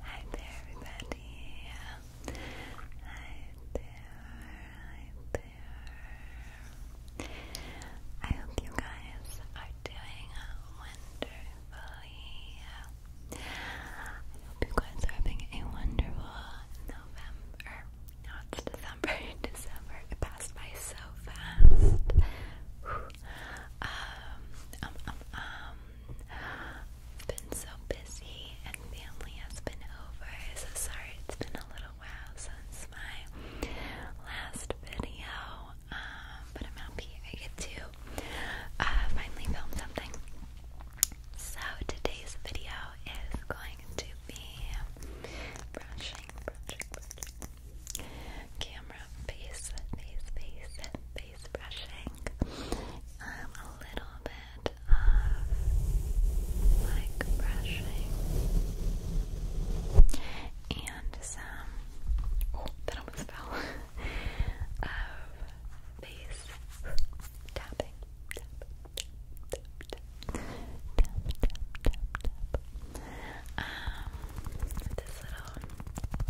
Hi there, everybody. Hi there, hi there. I hope you guys are doing wonderfully. I hope you guys are having a wonderful November. No, December. December. It passed by so fast. um. um, um, um. Been so busy and family has been over. So sorry it's been a little while since my last video. Um, but I'm happy I get to uh, finally film something. So today's video is going to be brushing, brushing, brushing. Camera face, face, face, face brushing. Um, a little bit of mic brushing and some oh that almost fell of face tapping. tap, tap, tap, tap, tap, tap, tap. Um, this little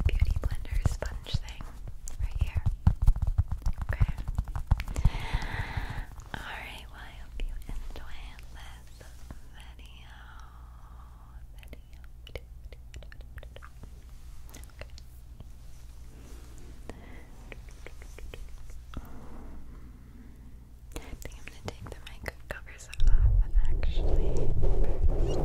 beauty blender sponge thing right here. Okay. Alright, I hope you enjoyed this video. Video. Okay. I think I'm gonna take the mic covers off actually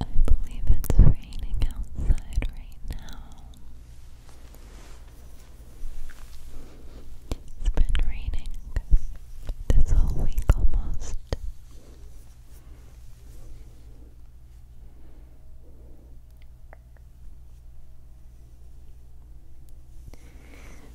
I believe it's raining outside right now. It's been raining this whole week almost.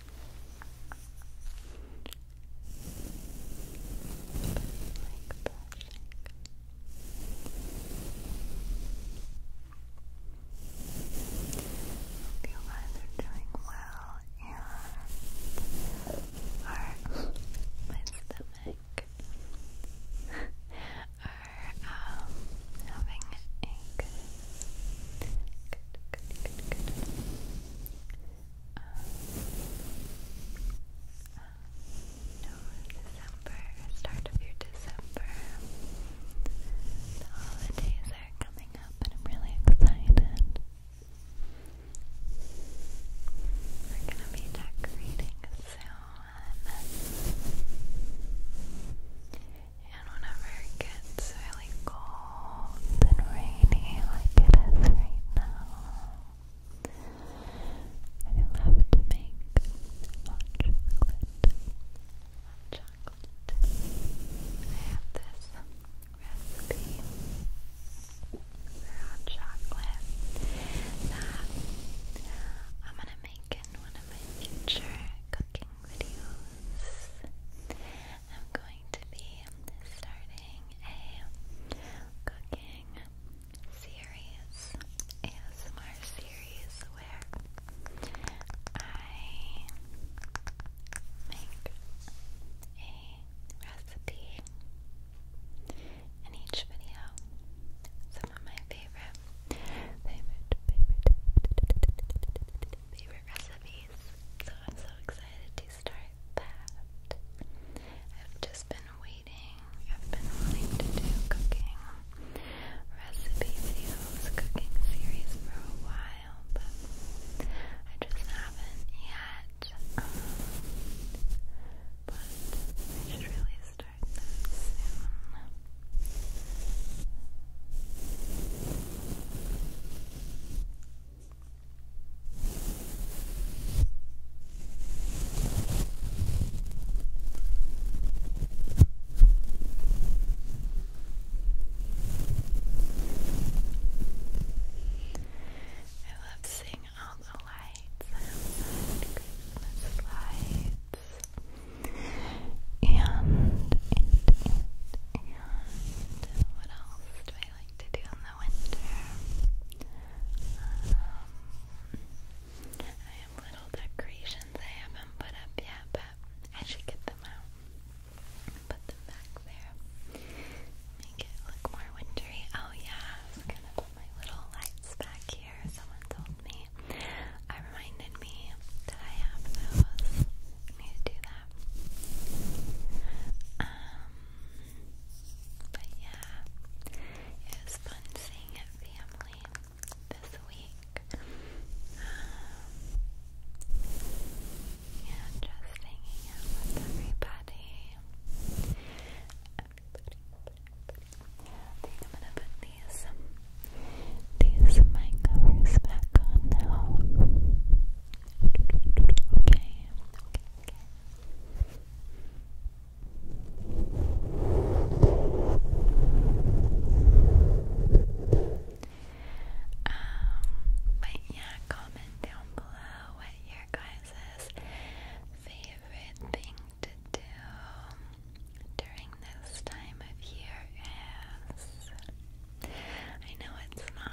Hope you guys are doing well and our my stomach are um having a good Good, good, no, December, start of your December. The holidays are coming up and I'm really excited. We're gonna be decorating soon. And whenever it gets really cold and rainy, like it is right now, I love to make hot chocolate. I have this recipe for hot chocolate that uh, I'm gonna make in one of my future cooking videos. I'm going going to be starting a cooking series, ASMR series, where I make a recipe in each video. Some of my favorite, favorite, favorite, favorite recipes so I'm so excited to start that. I've just been waiting, I've been wanting to do cooking recipe videos, cooking series for a while, but I just haven't yet. Um, but I should really start that soon. I love seeing all the lights Christmas oh lights, and what else do I like to do in the winter? Um, I have little decorations I haven't put up yet, but I should get them out. Put them back there. Make it look more wintry. Oh yeah, I was gonna put my little lights back here. Someone told me. I reminded me that I have those. need to do that. Um, but yeah, it was fun seeing family this week. Um, yeah, just hanging out with everybody. I think I'm gonna put these these mic back on now okay. Um, but yeah, comment down below what your guys' favorite thing to do during this time of year is. I know it's not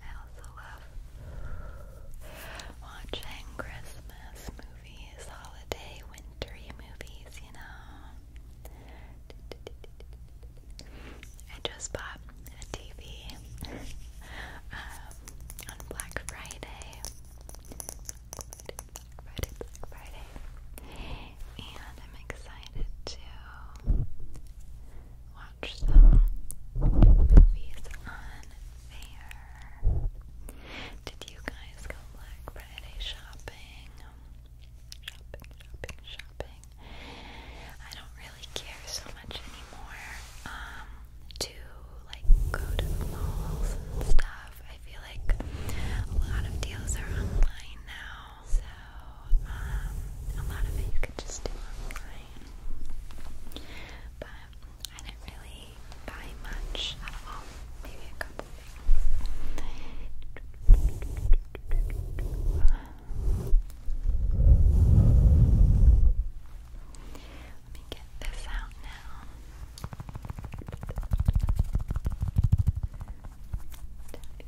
I also love watching Christmas movies, holiday, wintry movies, you know. I just bought a TV um, on Black Friday. Friday, Black Friday. And I'm excited to watch some movies on there. Did you guys go Black Friday shopping? Shopping, shopping, shopping. I don't really care so much anymore. Um, to like go to malls and stuff. I feel like a lot of deals are online now, so, um, a lot of it you could just do online. But I didn't really buy much at all. Maybe a couple things. Let me get this out now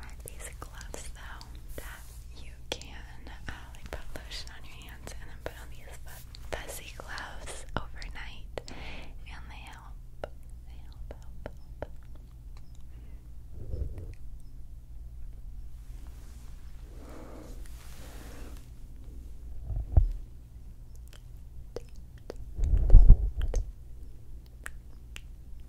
are these gloves though that you can uh, like put lotion on your hands and then put on these fuzzy gloves overnight and they help. Let's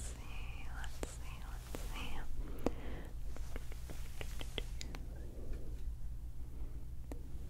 see, let's see, let's see.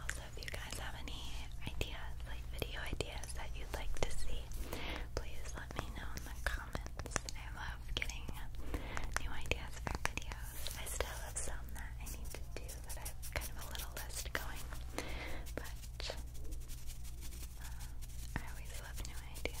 Also, if you guys have any ideas, like video ideas that you'd like to see, please let me know in the comments. I love getting new ideas for videos. I still have some that I need to do, That I have kind of a little list going. But I always love new ideas.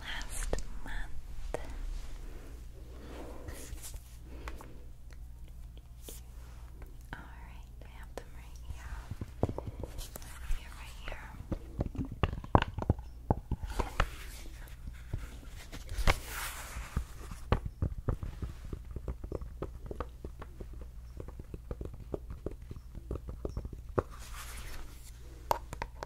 last month. Alright, I have them right here. Right here, right here.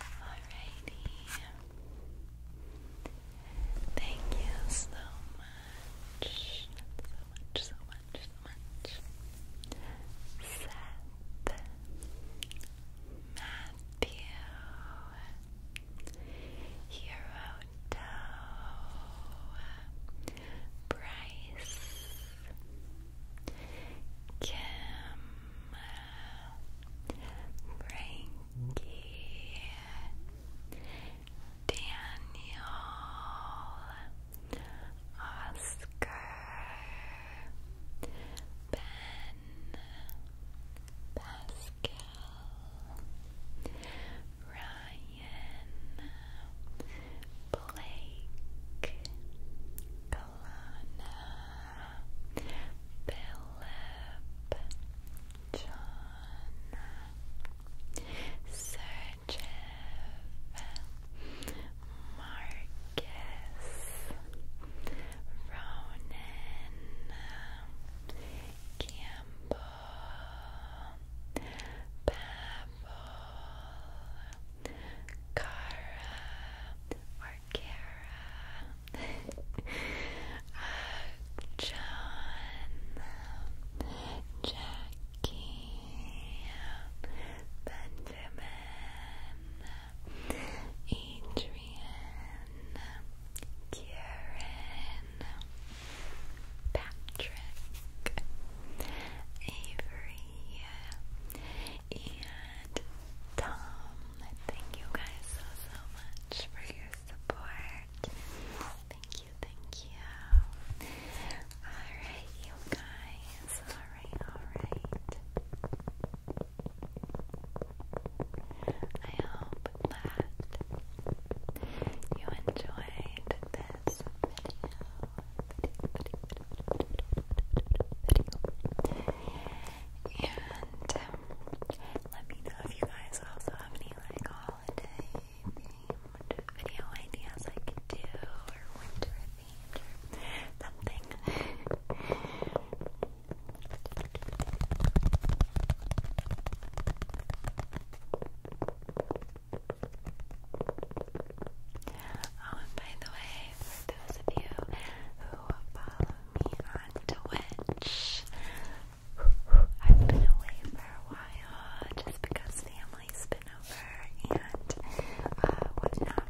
Alrighty. Thank you so much. So much, so much, so much. Seth Matthew Hiroto Bryce Kim, Frankie, Daniel, Oscar, Ben, Pascal, Ryan. Blake, Kalana, Philip, John, Sergev, Marcus, Ronan, Campbell, Babel, Cara or Cara, uh, John, Jackie, Benjamin, Adrian, Kieran, Patrick, Avery and Tom. Thank you guys so so much for your support. Thank you, thank you. Alright, you guys. Alright, alright. I hope that you enjoyed this video video, And um, let me know if you guys also have any like holiday themed video ideas I could do or winter themed or something. Oh, and by the way, those of you who follow me on Twitch, I've been away for a while just because family's been over and uh, whatnot,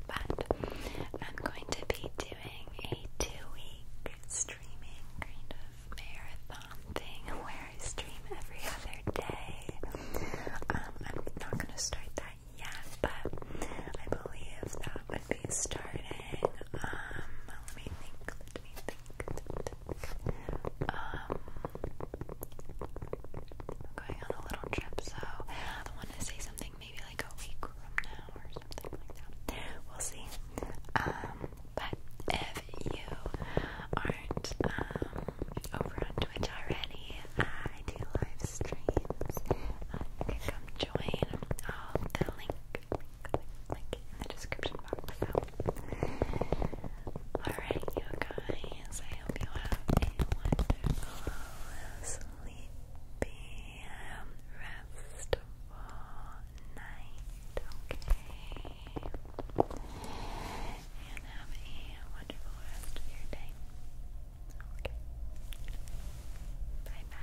I'm going to be doing a two week streaming kind of marathon thing where I stream every other day. Um, I'm not going to start that yet, but I believe that would be starting. Um, let me think. Let me think. Let me think. Um, going on a little trip, so I want to say something maybe like a week from now or something like that. We'll see. Um, but if you aren't um over on Twitch already, I do live streams. come join. Um, the link, in the description box. So. Alright, you guys, I hope you have a wonderful, sleepy, um, restful night. Okay and have a wonderful rest of your day. Okay. Bye bye.